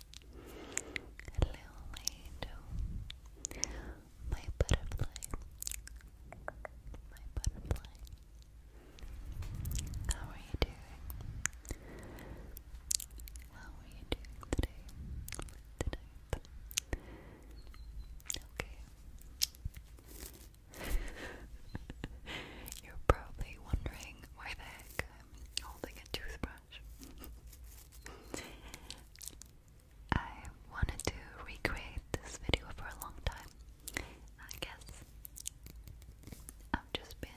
Hello, my butterfly. My butterfly. How are you doing? How are you doing today? Tonight? Okay. You're probably wondering why the heck I'm holding a toothbrush. I wanted to recreate this video for a long time. I guess I've just been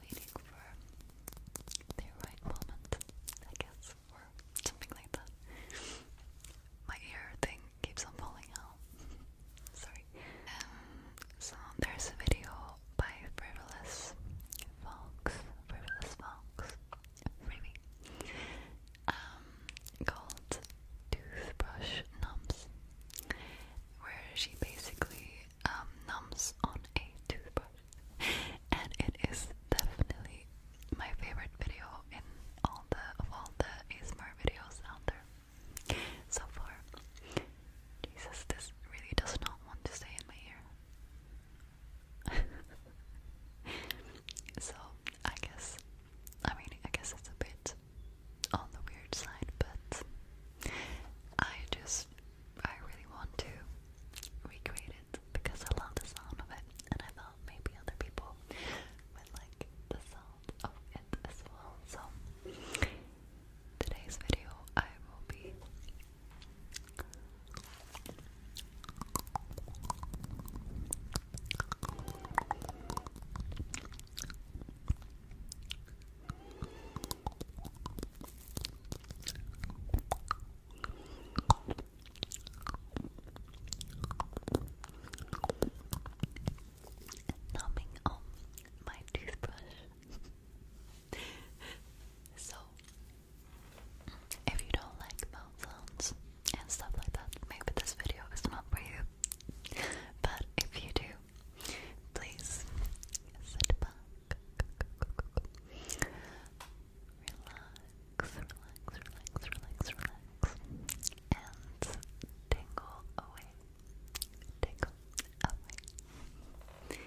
waiting for the right moment, I guess, or something like that. My ear thing keeps on falling out. Sorry. Um, so there's a video by Frivolous Fox, Frivolous Fox, Maybe. Um, called Toothbrush Numbs, where she basically um, numbs on a toothbrush, and it is definitely my favorite video in all the of all the ASMR videos out there so far. Jesus, this really does not want to stay in my ear. so I guess I mean I guess it's a bit on the weird side, but I just I really want to recreate it because I love the sound of it and I thought maybe other people would like the sound of it as well. So today's video I will be Numbing on my toothbrush. so if you don't like mouth sounds and stuff like that, maybe this video is not for you. But if you do, please sit back, relax, relax, relax, relax, relax, and tingle away, tingle away.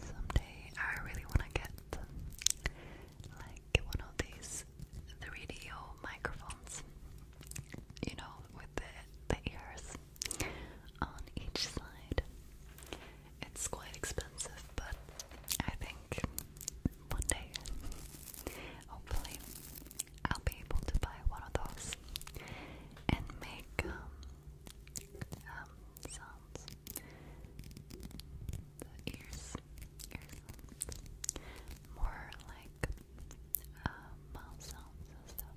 Someday I really want to get like one of these use the microphones, you know, with the, the ears on each side. It's quite expensive, but I think one day, hopefully, I'll be able to buy one of those and make um, um sounds. The ears, More like uh, mouth sounds and stuff.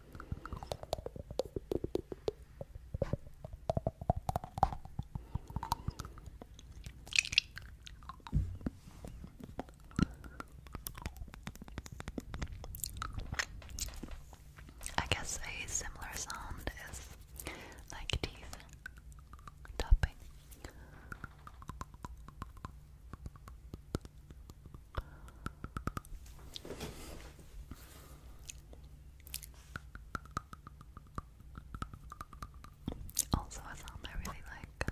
I guess a similar sound is like teeth tapping. Also, a sound I really like.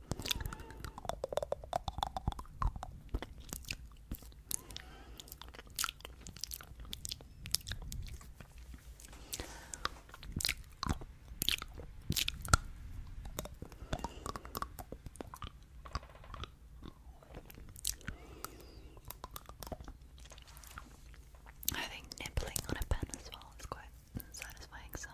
I think nibbling on a pen as well is quite satisfying sound.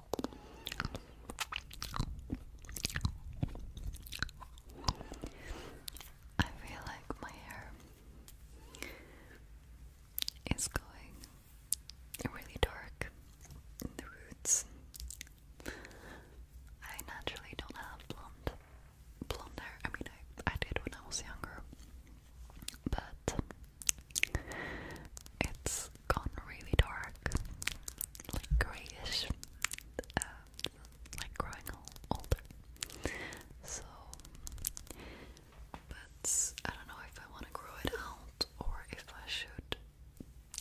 I feel like my hair is going really dark in the roots. I naturally don't have blonde blonde hair. I mean I I did when I was younger. But it's gone really dark, like grayish, uh, like growing older. So, but I don't know if I want to grow it out or if I should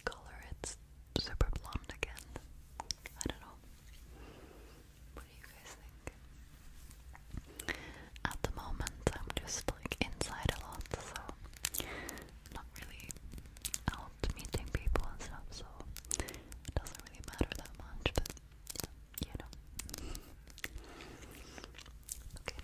color it super blonde again. I don't know. What do you guys think? At the moment, I'm just like inside a lot, so not really out meeting people and stuff, so it doesn't really matter that much, but yeah, you know. okay.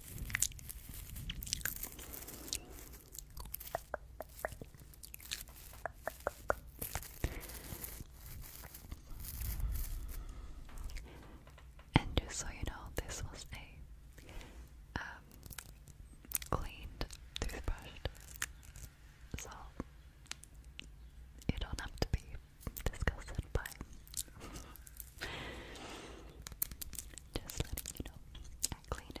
And just so you know, this was a um, cleaned toothbrush, so you don't have to be disgusted by just letting you know, I cleaned it.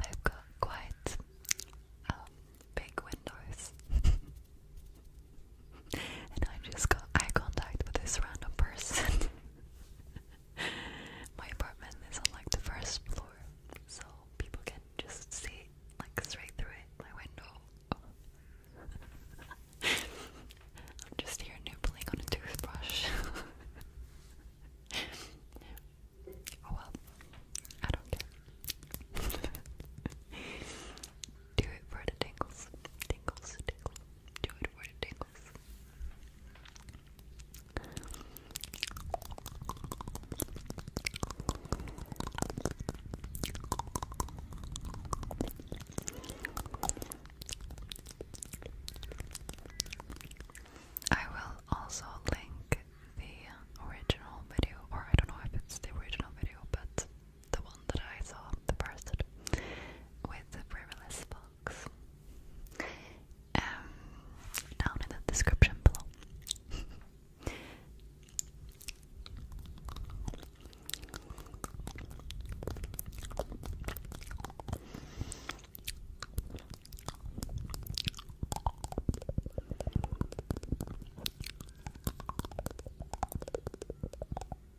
I've got quite um, big windows. and I just got eye contact with this random person. My apartment is on like the first floor, so people can just see like straight through it, my window. I'm just here nibbling on a toothbrush. oh well, I don't care. Do it for the tingles. Tingles, tingles. Do it for the tingles. I will also link the original video, or I don't know if it's the original video, but the one that I saw, the person with the riverless box, Um, down in the description below.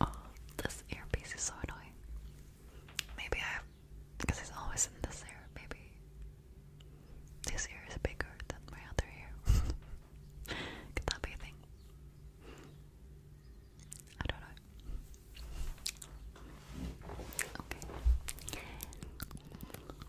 Oh, this earpiece is so annoying. Maybe I because it's always in this ear, maybe this ear is bigger than my other ear. Could that be a thing? I don't know. Okay.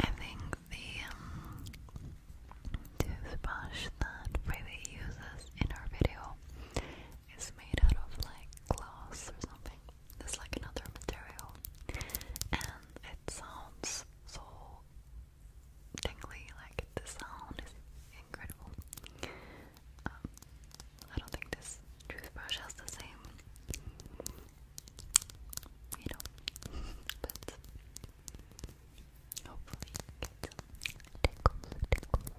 I think the um, toothbrush that Freely uses in her video is made out of like glass or something is like another material, and it sounds so tingly. Like the sound is incredible. Um, I don't think this toothbrush has the same, you know, but hopefully you get some tickles, tickles,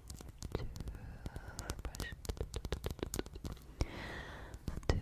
toothbrush, toothbrush. Okay.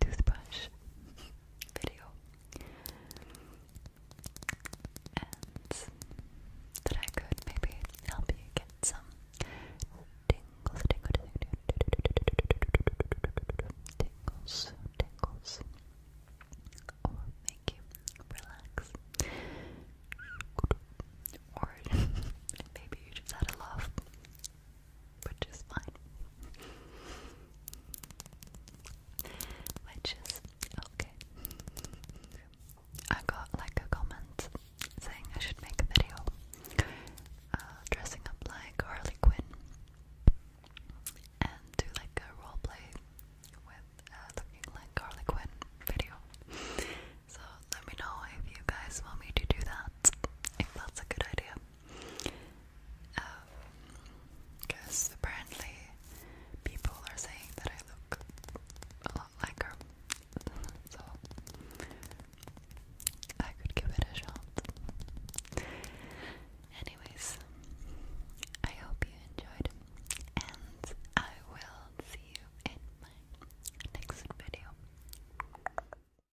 toothbrush video. And that I could maybe help you get some tingles, tingles, tingles, tingles, or make you relax, or maybe you just had a laugh which is fine, which is okay. I got like a comment saying I should make a video uh, dressing up like Harley Quinn and do like a role play with uh, looking like Harley Quinn video. So let me know if you guys want me to do that, if that's a good idea because um, apparently people are saying that I look a lot like her, so I could give it a shot. Anyways, I hope you enjoyed, and I will see you in my next video.